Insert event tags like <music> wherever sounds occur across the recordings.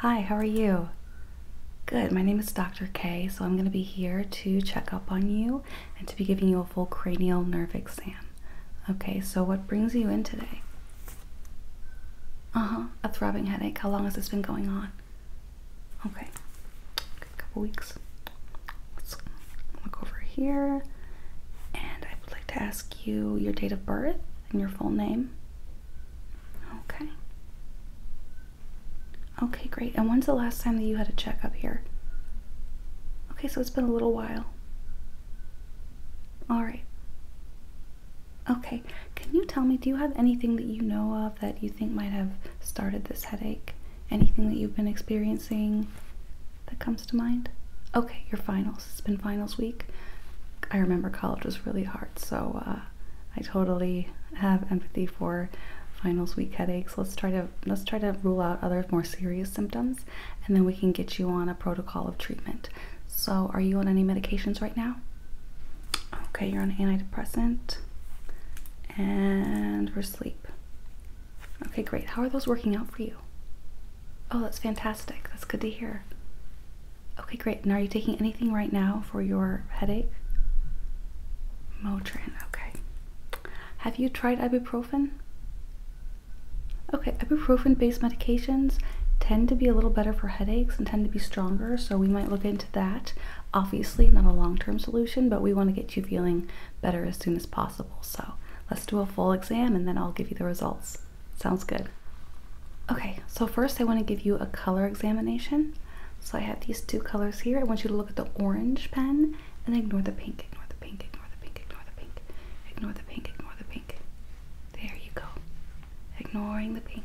Hi, how are you? Good, my name is Dr. K, so I'm going to be here to check up on you and to be giving you a full cranial nerve exam. Okay, so what brings you in today? Uh huh, a throbbing headache. How long has this been going on? Okay, a couple weeks. Let's look over here. And I would like to ask you your date of birth and your full name. Okay. Okay, great. And when's the last time that you had a checkup here? Okay, so it's been a little while. All right. Okay, can you tell me, do you have anything that you know of that you think might have started this headache? anything that you've been experiencing that comes to mind? Okay, your finals. It's been finals week. I remember college was really hard, so uh, I totally have empathy for finals week headaches. Let's try to let's try to rule out other more serious symptoms, and then we can get you on a protocol of treatment. So, are you on any medications right now? Okay, you're on antidepressant and we're asleep. Okay, great. How are those working out for you? Oh, that's fantastic. That's good to hear. Okay, great. And are you taking anything right now for your headache? Motrin, okay. Have you tried ibuprofen? Okay, ibuprofen based medications tend to be a little better for headaches and tend to be stronger, so we might look into that. Obviously, not a long term solution, but we want to get you feeling better as soon as possible. So let's do a full exam and then I'll give you the results. Sounds good. Okay, so first I want to give you a color examination. So I have these two colors here. I want you to look at the orange pen and ignore the pink, ignore the pink, ignore the pink, ignore the pink, ignore the pink, ignore the pink. There you go. Ignoring the pink.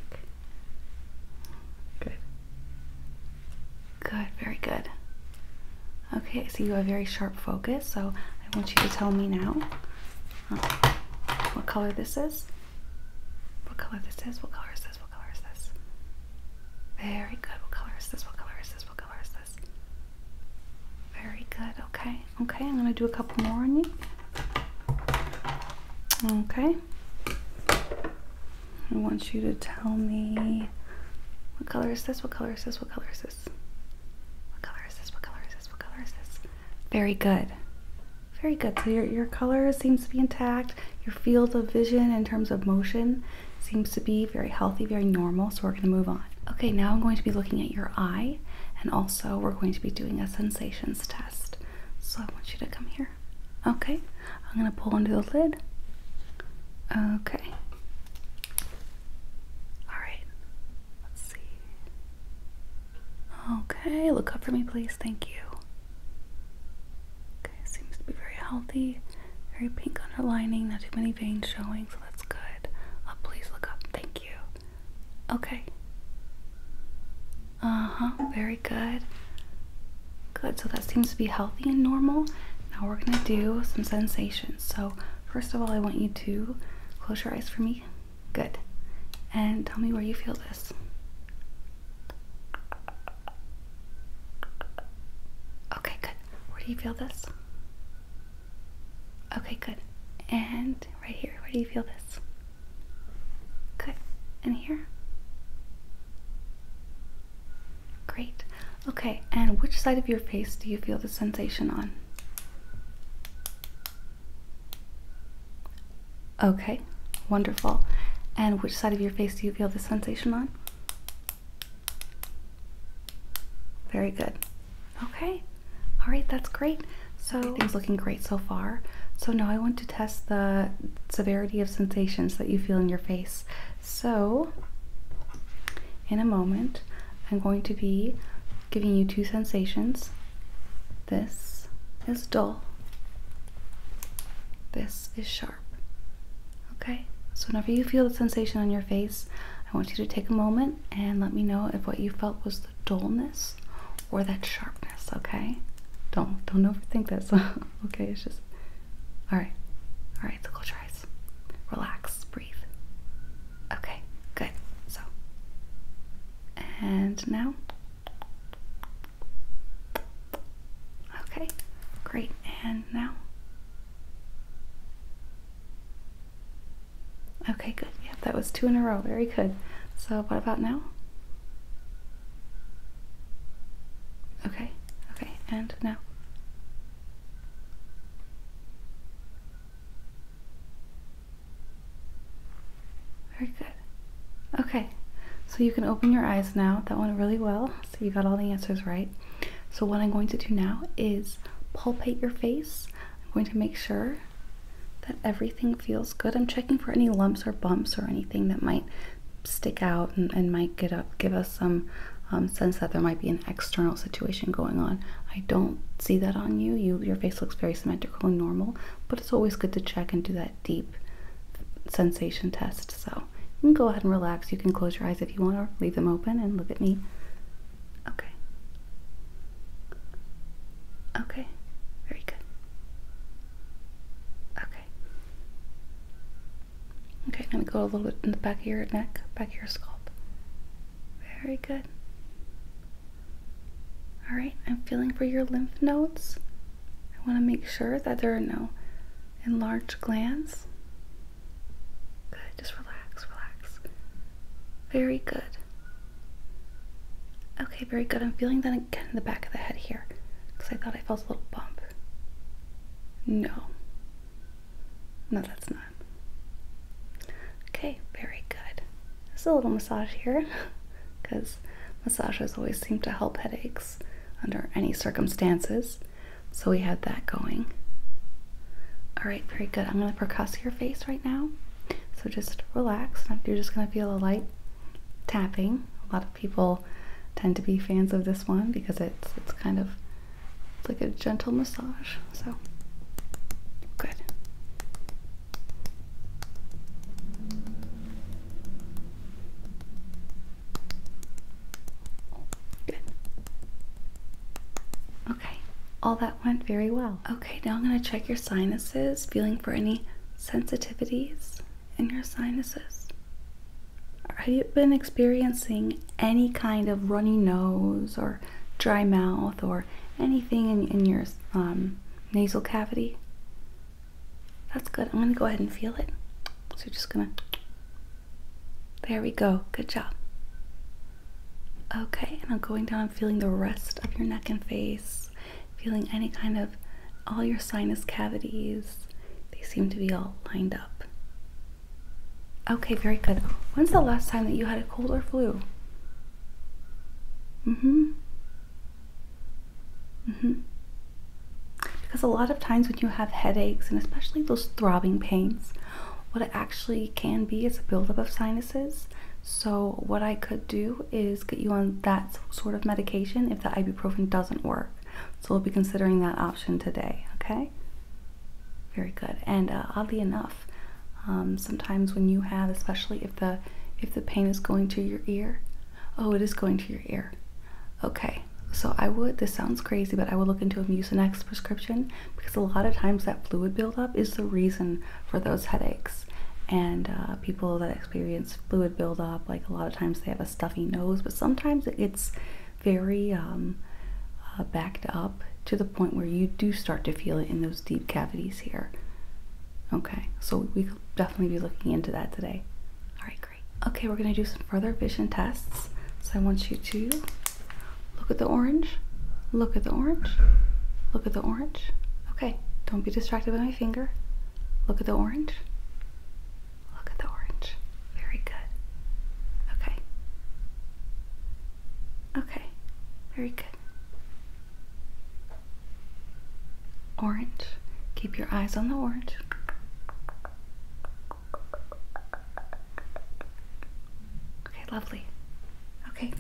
Good. Good, very good. Okay, so you have very sharp focus, so I want you to tell me now um, what color this is. What color this is? What color is this? What color is this? Very good. What color is this? What color is this? What color is this? Very good. Okay, okay, I'm gonna do a couple more on you. Okay. I want you to tell me what color is this? What color is this? What color is this? What color is this? What color is this? What color is this? Very good. Very good. So your, your color seems to be intact. Your field of vision in terms of motion seems to be very healthy, very normal. So we're going to move on. Okay, now I'm going to be looking at your eye and also we're going to be doing a sensations test. So I want you to come here. Okay, I'm gonna pull under the lid. Okay. Alright, let's see. Okay, look up for me, please. Thank you. Okay, seems to be very healthy. Very pink underlining, not too many veins showing, so that's good. Oh, please look up. Thank you. Okay. Uh huh, very good. Good, so that seems to be healthy and normal. Now we're gonna do some sensations. So first of all, I want you to close your eyes for me. Good. And tell me where you feel this. Okay, good. Where do you feel this? Okay, good. And right here, where do you feel this? Good. And here? Great. Okay, and which side of your face do you feel the sensation on? Okay, wonderful. And which side of your face do you feel the sensation on? Very good. Okay, all right, that's great. So, everything's looking great so far. So, now I want to test the severity of sensations that you feel in your face. So, in a moment, I'm going to be giving you two sensations. This is dull, this is sharp. Okay, so whenever you feel the sensation on your face, I want you to take a moment and let me know if what you felt was the dullness or that sharpness, okay? Don't don't overthink this. <laughs> Okay, it's just all right. All right, so close your eyes, relax, breathe. Okay, good. So, and now, okay, great. And now, okay, good. Yeah, that was two in a row. Very good. So, what about now? Okay, okay, and now. Very good. Okay, so you can open your eyes now. That went really well. So you got all the answers right. So what I'm going to do now is palpate your face. I'm going to make sure that everything feels good. I'm checking for any lumps or bumps or anything that might stick out and, might get up, give us some um, sense that there might be an external situation going on. I don't see that on you. Your face looks very symmetrical and normal, but it's always good to check and do that deep sensation test. So you can go ahead and relax. You can close your eyes if you want or leave them open and look at me. Okay. Okay. Very good. Okay. Okay, let me go a little bit in the back of your neck, back of your scalp. Very good. Alright, I'm feeling for your lymph nodes. I want to make sure that there are no enlarged glands. Good, just relax, relax. Very good. Okay, very good. I'm feeling that again in the back of the head here because I thought I felt a little bump. No. No, that's not. Okay, very good. Just a little massage here because <laughs> massages always seem to help headaches under any circumstances. So we had that going. All right, very good. I'm going to percuss your face right now. So just relax. You're just going to feel a light tapping. A lot of people tend to be fans of this one because it's it's kind of it's like a gentle massage. So good. Good. Okay, all that went very well. Okay, now I'm going to check your sinuses, feeling for any sensitivities in your sinuses? Have you been experiencing any kind of runny nose or dry mouth or anything in, your um, nasal cavity? That's good. I'm going to go ahead and feel it. So just going to. There we go. Good job. Okay, and I'm going down, I'm feeling the rest of your neck and face feeling any kind of all your sinus cavities, they seem to be all lined up. Okay, very good. When's the last time that you had a cold or flu? Mm hmm. Mm hmm. Because a lot of times when you have headaches and especially those throbbing pains, what it actually can be is a buildup of sinuses. So, what I could do is get you on that sort of medication if the ibuprofen doesn't work. So we'll be considering that option today, okay? Very good. And uh, oddly enough, um, sometimes when you have, especially if the if the pain is going to your ear, oh, it is going to your ear. Okay, so I would. This sounds crazy, but I would look into a musinex prescription because a lot of times that fluid buildup is the reason for those headaches. And uh, people that experience fluid buildup, like a lot of times they have a stuffy nose, but sometimes it's very um, uh, backed up to the point where you do start to feel it in those deep cavities here. Okay, so we could definitely be looking into that today. All right, great. Okay, we're gonna do some further vision tests. So I want you to look at the orange, look at the orange, look at the orange. Okay, don't be distracted by my finger. Look at the orange. Look at the orange. Very good. Okay. Okay. Very good. Orange. Keep your eyes on the orange. Okay, lovely. Okay,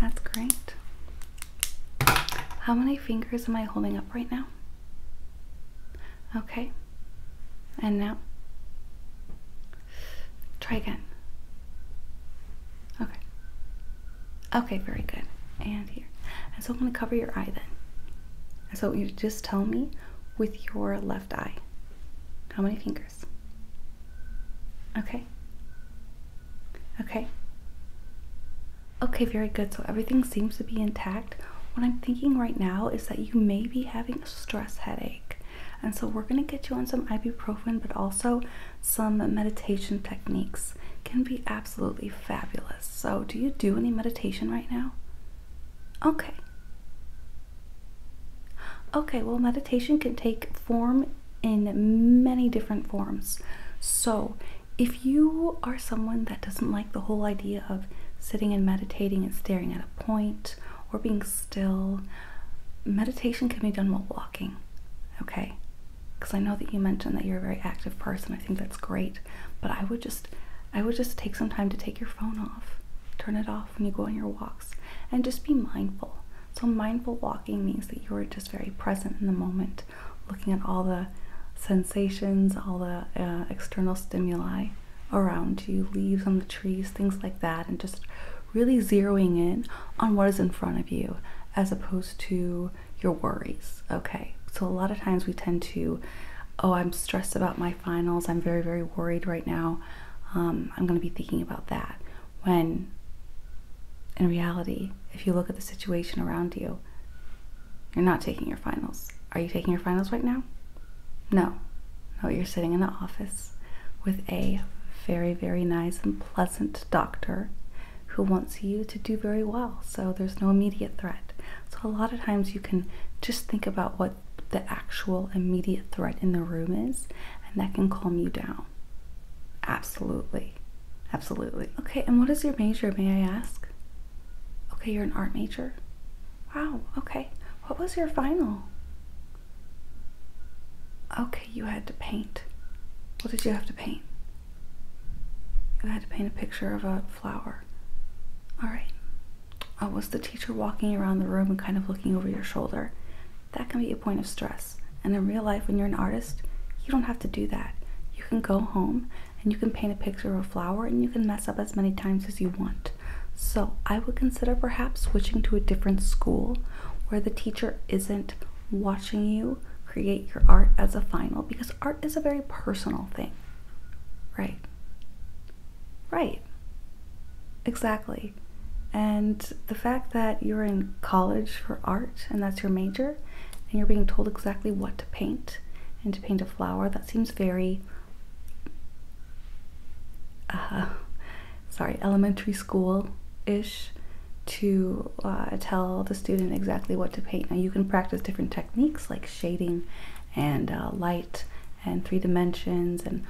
that's great. How many fingers am I holding up right now? Okay. And now? Try again. Okay. Okay, very good. And here. I'm going to cover your eye then. And so you just tell me with your left eye. How many fingers? Okay. Okay. Okay, very good. So everything seems to be intact. What I'm thinking right now is that you may be having a stress headache. And so we're going to get you on some ibuprofen, but also some meditation techniques can be absolutely fabulous. So, do you do any meditation right now? Okay. Okay, well, meditation can take form in many different forms. So, if you are someone that doesn't like the whole idea of sitting and meditating and staring at a point or being still, meditation can be done while walking, okay? Because I know that you mentioned that you're a very active person. I think that's great, but I would just I would just take some time to take your phone off, turn it off when you go on your walks, and just be mindful. So mindful walking means that you are just very present in the moment looking at all the sensations, all the uh, external stimuli around you, leaves on the trees, things like that, and just really zeroing in on what is in front of you as opposed to your worries. Okay, so a lot of times we tend to, oh, I'm stressed about my finals, I'm very, very worried right now, um, I'm going to be thinking about that. When in reality, if you look at the situation around you, you're not taking your finals. Are you taking your finals right now? No. No, you're sitting in the office with a very, very nice and pleasant doctor who wants you to do very well. So there's no immediate threat. So a lot of times you can just think about what the actual immediate threat in the room is, and that can calm you down. Absolutely. Absolutely. Okay, and what is your major, may I ask? Okay, you're an art major. Wow, okay. What was your final? Okay, you had to paint. What did you have to paint? You had to paint a picture of a flower. All right. Oh, was the teacher walking around the room and kind of looking over your shoulder? That can be a point of stress. And in real life, when you're an artist, you don't have to do that. You can go home and you can paint a picture of a flower and you can mess up as many times as you want. So, I would consider perhaps switching to a different school where the teacher isn't watching you create your art as a final because art is a very personal thing. Right. Right. Exactly. And the fact that you're in college for art and that's your major and you're being told exactly what to paint and to paint a flower. That seems very, uh, sorry, elementary school ish to uh, tell the student exactly what to paint. Now you can practice different techniques like shading and uh, light and three dimensions and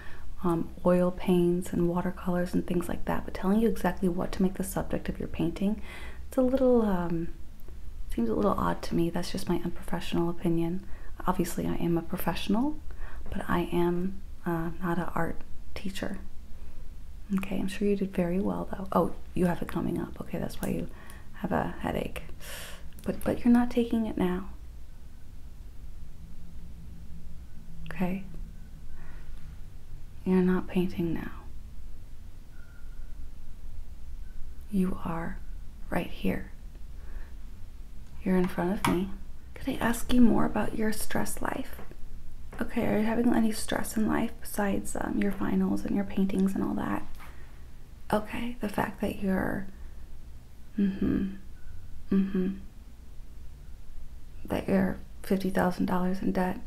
um, oil paints and watercolors and things like that, but telling you exactly what to make the subject of your painting, it's a little um, Seems a little odd to me. That's just my unprofessional opinion. Obviously, I am a professional, but I am uh, not an art teacher. Okay, I'm sure you did very well though. Oh, you have it coming up. Okay, that's why you have a headache. But but you're not taking it now. Okay. You're not painting now. You are right here. You're in front of me. Could I ask you more about your stress life? Okay, are you having any stress in life besides um, your finals and your paintings and all that? Okay, the fact that you're. Mm hmm. Mm hmm. That you're $50,000 in debt.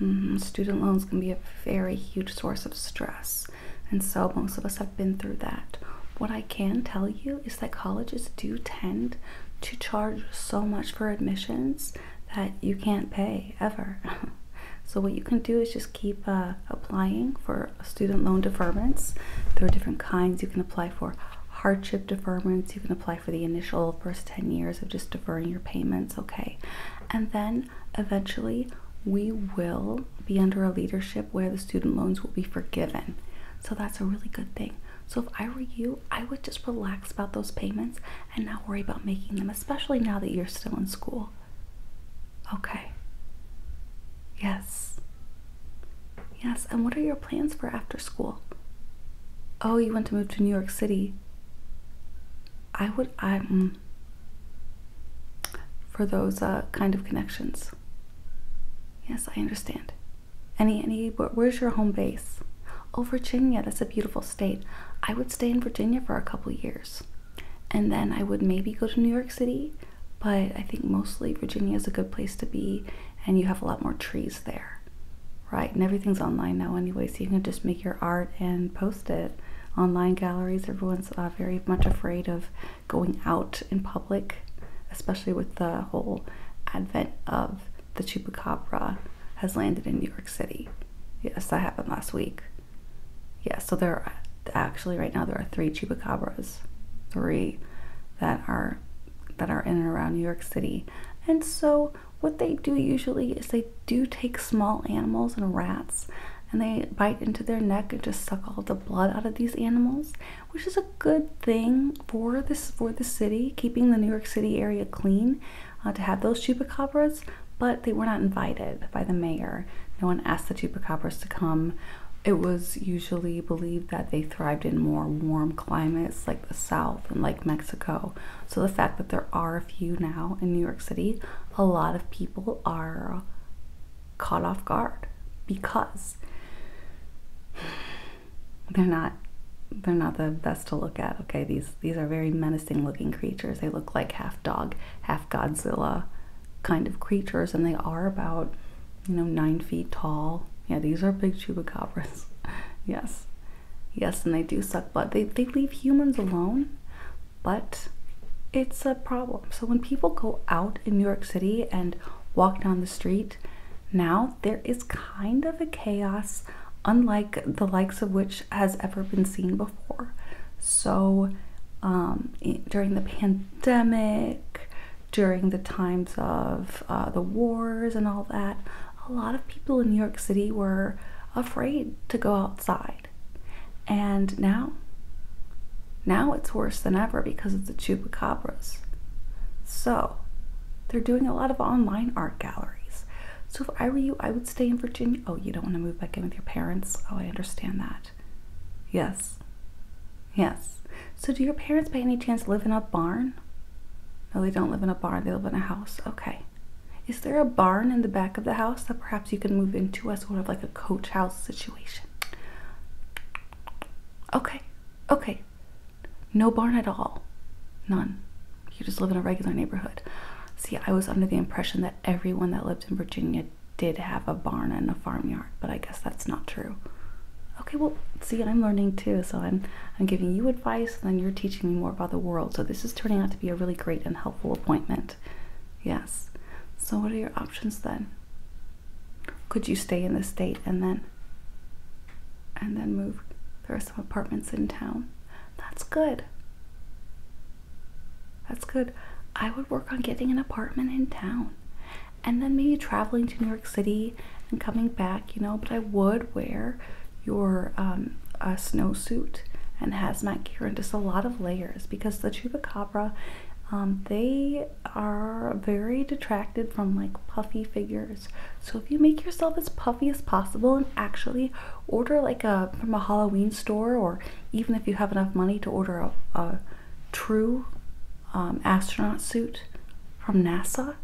Mm-hmm. student loans can be a very huge source of stress, and so most of us have been through that. What I can tell you is that colleges do tend to charge so much for admissions that you can't pay ever. <laughs> so, what you can do is just keep uh, applying for student loan deferments. There are different kinds you can apply for hardship deferments. You can apply for the initial first 10 years of just deferring your payments, okay? And then eventually we will be under a leadership where the student loans will be forgiven. So that's a really good thing. So if I were you, I would just relax about those payments and not worry about making them, especially now that you're still in school. Okay. Yes. Yes, and what are your plans for after school? Oh, you want to move to New York City. I would I am for those uh, kind of connections. Yes, I understand. Any, any, where's your home base? Oh, Virginia, that's a beautiful state. I would stay in Virginia for a couple years. And then I would maybe go to New York City, but I think mostly Virginia is a good place to be, and you have a lot more trees there, right? And everything's online now anyway, so you can just make your art and post. Online galleries, everyone's uh, very much afraid of going out in public, especially with the whole advent of the chupacabra has landed in New York City. Yes, that happened last week. Yeah, so there are actually right now there are three chupacabras, three that are that are in and around New York City. And so what they do usually is they do take small animals and rats and they bite into their neck and just suck all the blood out of these animals, which is a good thing for this for the city, keeping the New York City area clean uh, to have those chupacabras. But they were not invited by the mayor. No one asked the chupacabras to come. It was usually believed that they thrived in more warm climates like the South and like. Mexico. So the fact that there are a few now in New York City, a lot of people are caught off guard because they're not they're not the best to look at. Okay, these these are very menacing looking creatures. They look like half dog, half Godzilla kind of creatures, and they are about you know nine feet tall. Yeah, these are big chupacabras. <laughs> yes, Yes, and they do suck but They, they leave humans alone, but it's a problem. So when people go out in New York City and walk down the street, now there is kind of a chaos unlike the likes of which has ever been seen before. So um, during the pandemic, during the times of uh, the wars and all that, a lot of people in New York City were afraid to go outside. And now, now it's worse than ever because of the chupacabras. So, they're doing a lot of online art galleries. So, if I were you, I would stay in Virginia. Oh, you don't want to move back in with your parents? Oh, I understand that. Yes. Yes. So, do your parents by any chance live in a barn? No, they don't live in a barn, they live in a house. Okay. Is there a barn in the back of the house that perhaps you could move into as sort of like a coach house situation? Okay, okay. No barn at all. None. You just live in a regular neighborhood. See, I was under the impression that everyone that lived in Virginia did have a barn and a farmyard, but I guess that's not true. Okay, well, see, I'm learning too, so I'm I'm giving you advice then you're teaching me more about the world. So this is turning out to be a really great and helpful appointment. Yes. So what are your options then? Could you stay in the state and then and then move? There are some apartments in town. That's good. That's good. I would work on getting an apartment in town and then maybe traveling to New York City and coming back, you know, but I would wear your um, snowsuit and hazmat gear and just a lot of layers because the chupacabra um, they are very detracted from like puffy figures so if you make yourself as puffy as possible and actually order like a from a halloween store or even if you have enough money to order a, true um, astronaut suit from nasa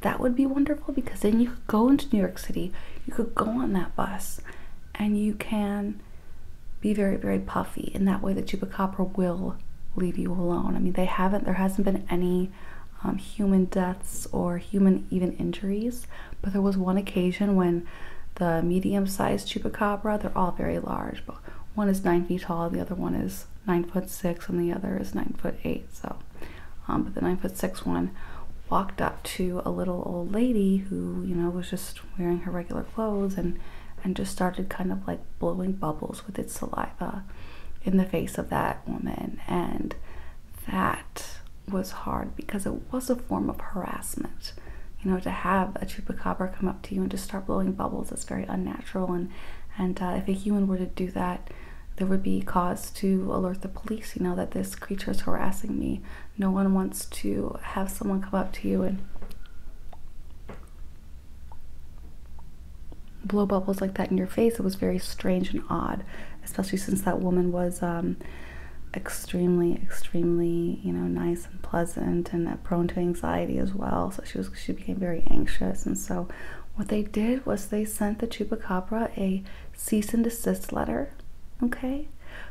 that would be wonderful because then you could go into new York. City, you could go on that bus and you can be very, very puffy. In that way, the chupacabra will leave you alone. I mean, they haven't, there hasn't been any um, human deaths or human even injuries, but there was one occasion when the medium sized chupacabra, they're all very large, but one is nine feet tall, the other one is nine foot six, and the other is nine foot eight. So um, but the nine foot six one walked up to a little old lady who you know was just wearing her regular clothes and and just started kind of like blowing bubbles with its saliva in the face of that woman and that was hard because it was a form of harassment you know to have a chupacabra come up to you and just start blowing bubbles it's very unnatural and and uh, if a human were to do that there would be cause to alert the police you know that this this creature's harassing me. No one wants to have someone come up to you and blow bubbles like that in your face. It was very strange and odd, especially since that woman was um, extremely, extremely, you know, nice and pleasant and prone to anxiety as well. So she was she became very anxious, and so what they did was they sent the chupacabra a cease and desist letter. Okay,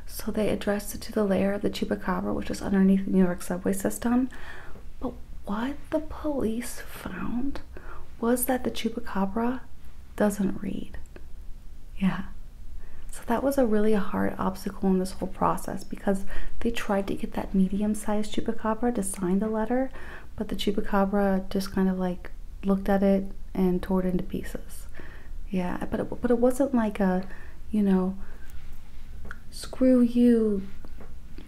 so they addressed it to the layer of the Chupacabra, which was underneath the New York subway system. But what the police found was that the Chupacabra doesn't read. Yeah. So that was a really hard obstacle in this whole process because they tried to get that medium sized chupacabra to sign the letter, but the chupacabra just kind of like looked at it and tore it into pieces. Yeah, but it, but it wasn't like a, you know, screw you,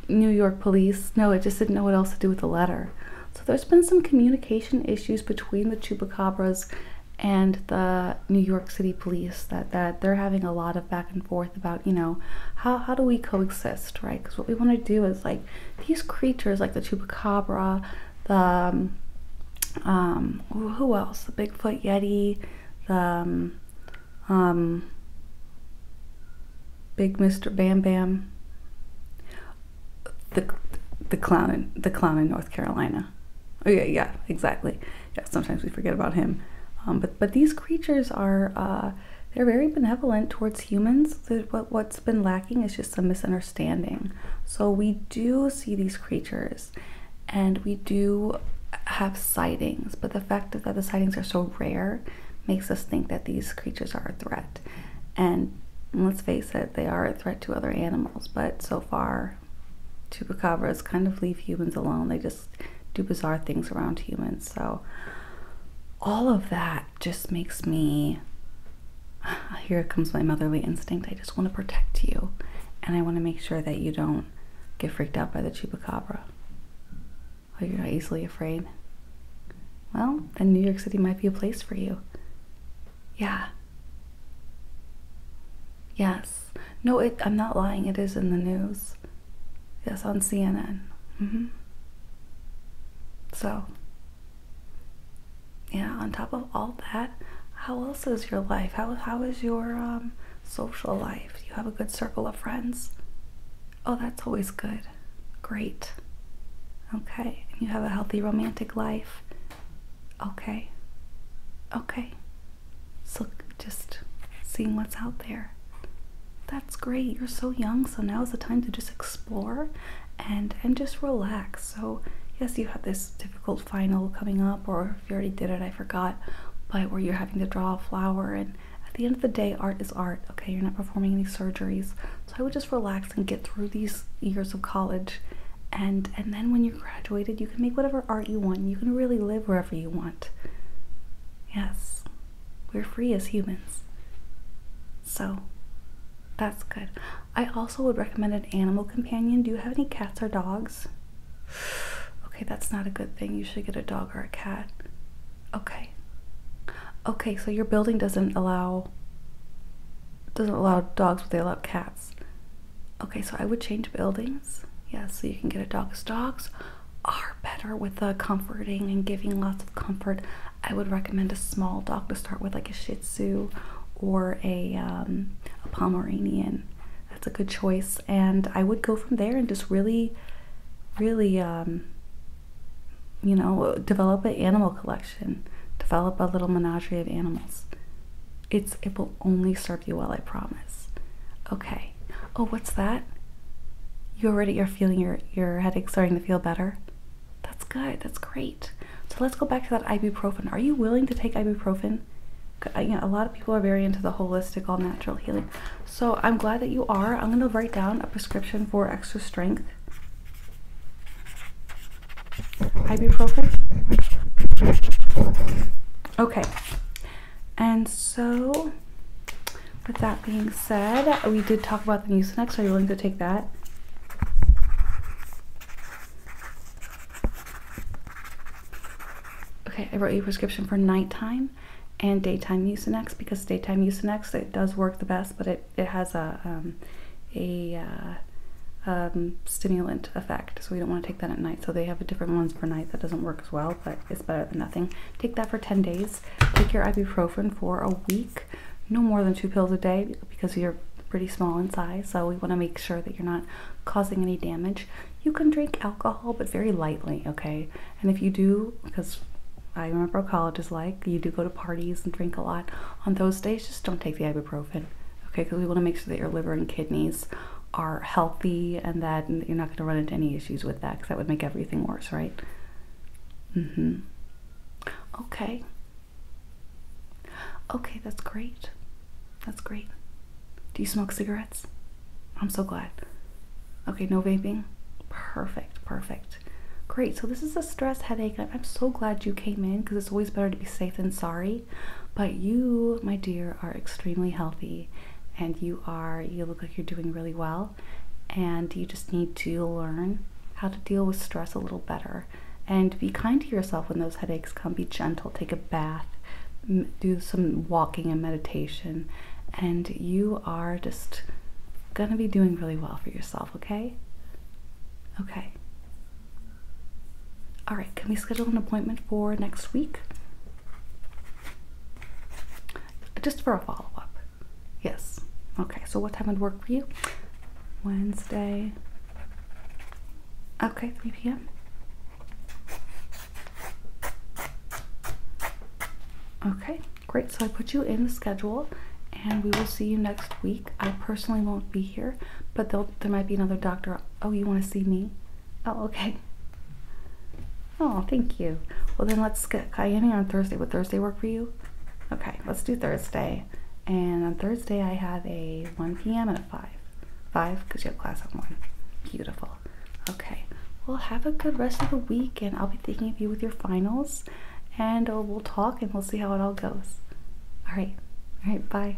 New York police. No, it just didn't know what else to do with the letter. So there's been some communication issues between the chupacabras and the New York City police that, that they're having a lot of back and forth about, you know, how, how do we coexist, right? Because what we want to do is like these creatures like the chupacabra the um, um who else? The Bigfoot Yeti, the um, um Big Mr. Bam Bam, the the clown in the clown in North Carolina. Oh yeah, yeah, exactly. Yeah, sometimes we forget about him. Um, but but these creatures are uh, they're very benevolent towards humans. What what what's been lacking is just some misunderstanding. So we do see these creatures and we do have sightings, but the fact that the sightings are so rare makes us think that these creatures are a threat. And let's face it, they are a threat to other animals, but so far, chupacabras kind of leave humans alone. They just do bizarre things around humans. So, all of that just makes me <sighs> here comes my motherly instinct. I just want to protect you and I want to make sure that you don't get freaked out by the chupacabra. Oh, you're not easily afraid. Well, then New York City might be a place for you. Yeah. Yes. No, I'm not lying. It is in the news. Yes, on CNN. Mm-hmm. So, yeah on top of all that how else is your life how, how is your um, social life do you have a good circle of friends oh that's always good great okay you have a healthy romantic life okay okay so just seeing what's out there that's great you're so young so now's the time to just explore and and just relax. So yes, you have this difficult final coming up, or if you already did it, I forgot. But where you're having to draw a flower, and at the end of the day, art is art. Okay, you're not performing any surgeries, so I would just relax and get through these years of college, and and then when you're graduated, you can make whatever art you want. You can really live wherever you want. Yes, we're free as humans. So, that's good. I also would recommend an animal companion. Do you have any cats or dogs? <sighs> Okay, that's not a good thing. You should get a dog or a cat. Okay. Okay, so your building doesn't allow doesn't allow dogs, but they allow cats. Okay, so I would change buildings. Yes, so you can get a dog's dogs are better with the uh, comforting and giving lots of comfort. I would recommend a small dog to start with, like a Shih Tzu or a, um, a Pomeranian. That's a good choice, and I would go from there and just really, really, um, you know, develop an animal collection, develop a little menagerie of animals. It's it will only serve you well, I promise. Okay. Oh, what's that? You already are feeling your your headaches starting to feel better. That's good. That's great. So let's go back to that ibuprofen. Are you willing to take ibuprofen? Uh, you know, a lot of people are very into the holistic, all natural healing. So I'm glad that you are. I'm going to write down a prescription for extra strength. Ibuprofen. Okay. And so, with that being said, we did talk about the Mucinex. Are you willing to take that? Okay, I wrote you a prescription for nighttime and daytime usenex because daytime usenex it does work the best, but it, it has a um, a uh, um, stimulant effect, so we don't want to take that at night. So they have different ones for night that doesn't work as well, but it's better than nothing. Take that for 10 days. Take your ibuprofen for a week no more than two pills a day because you're pretty small in size, so we want to make sure that you're not causing any damage. You can drink alcohol, but very lightly, okay? And if you do, because I remember college is like, you do go to parties and drink a lot. On those days, just don't take the ibuprofen, okay? Because we want to make sure that your liver and kidneys are healthy and that you're not going to run into any issues with that because that would make everything worse, right? Mm hmm. Okay. Okay, that's great. That's great. Do you smoke cigarettes? I'm so glad. Okay, no vaping? Perfect, perfect. Great, so this is a stress headache. I'm so glad you came in because it's always better to be safe than sorry. But you, my dear, are extremely healthy and you are, you look like you're doing really well. And you just need to learn how to deal with stress a little better. And be kind to yourself when those headaches come. Be gentle, take a bath, do some walking and meditation, and you are just gonna be doing really well for yourself, okay? Okay. All right, can we schedule an appointment for next week? Just for a follow up. Yes. Okay, so what time would work for you? Wednesday. Okay, 3 p.m. Okay, great. So I put you in the schedule and we will see you next week. I personally won't be here, but there might be another doctor. Oh, you want to see me? Oh, okay. Oh, thank you. Well, then let's get Kayani on Thursday. Would Thursday work for you? Okay, let's do Thursday. And on Thursday, I have a 1 p.m. and a 5. 5 because you have class at 1. Beautiful. Okay. Well, have a good rest of the week, and I'll be thinking of you with your finals. And uh, we'll talk and we'll see how it all goes. All right. All right. Bye.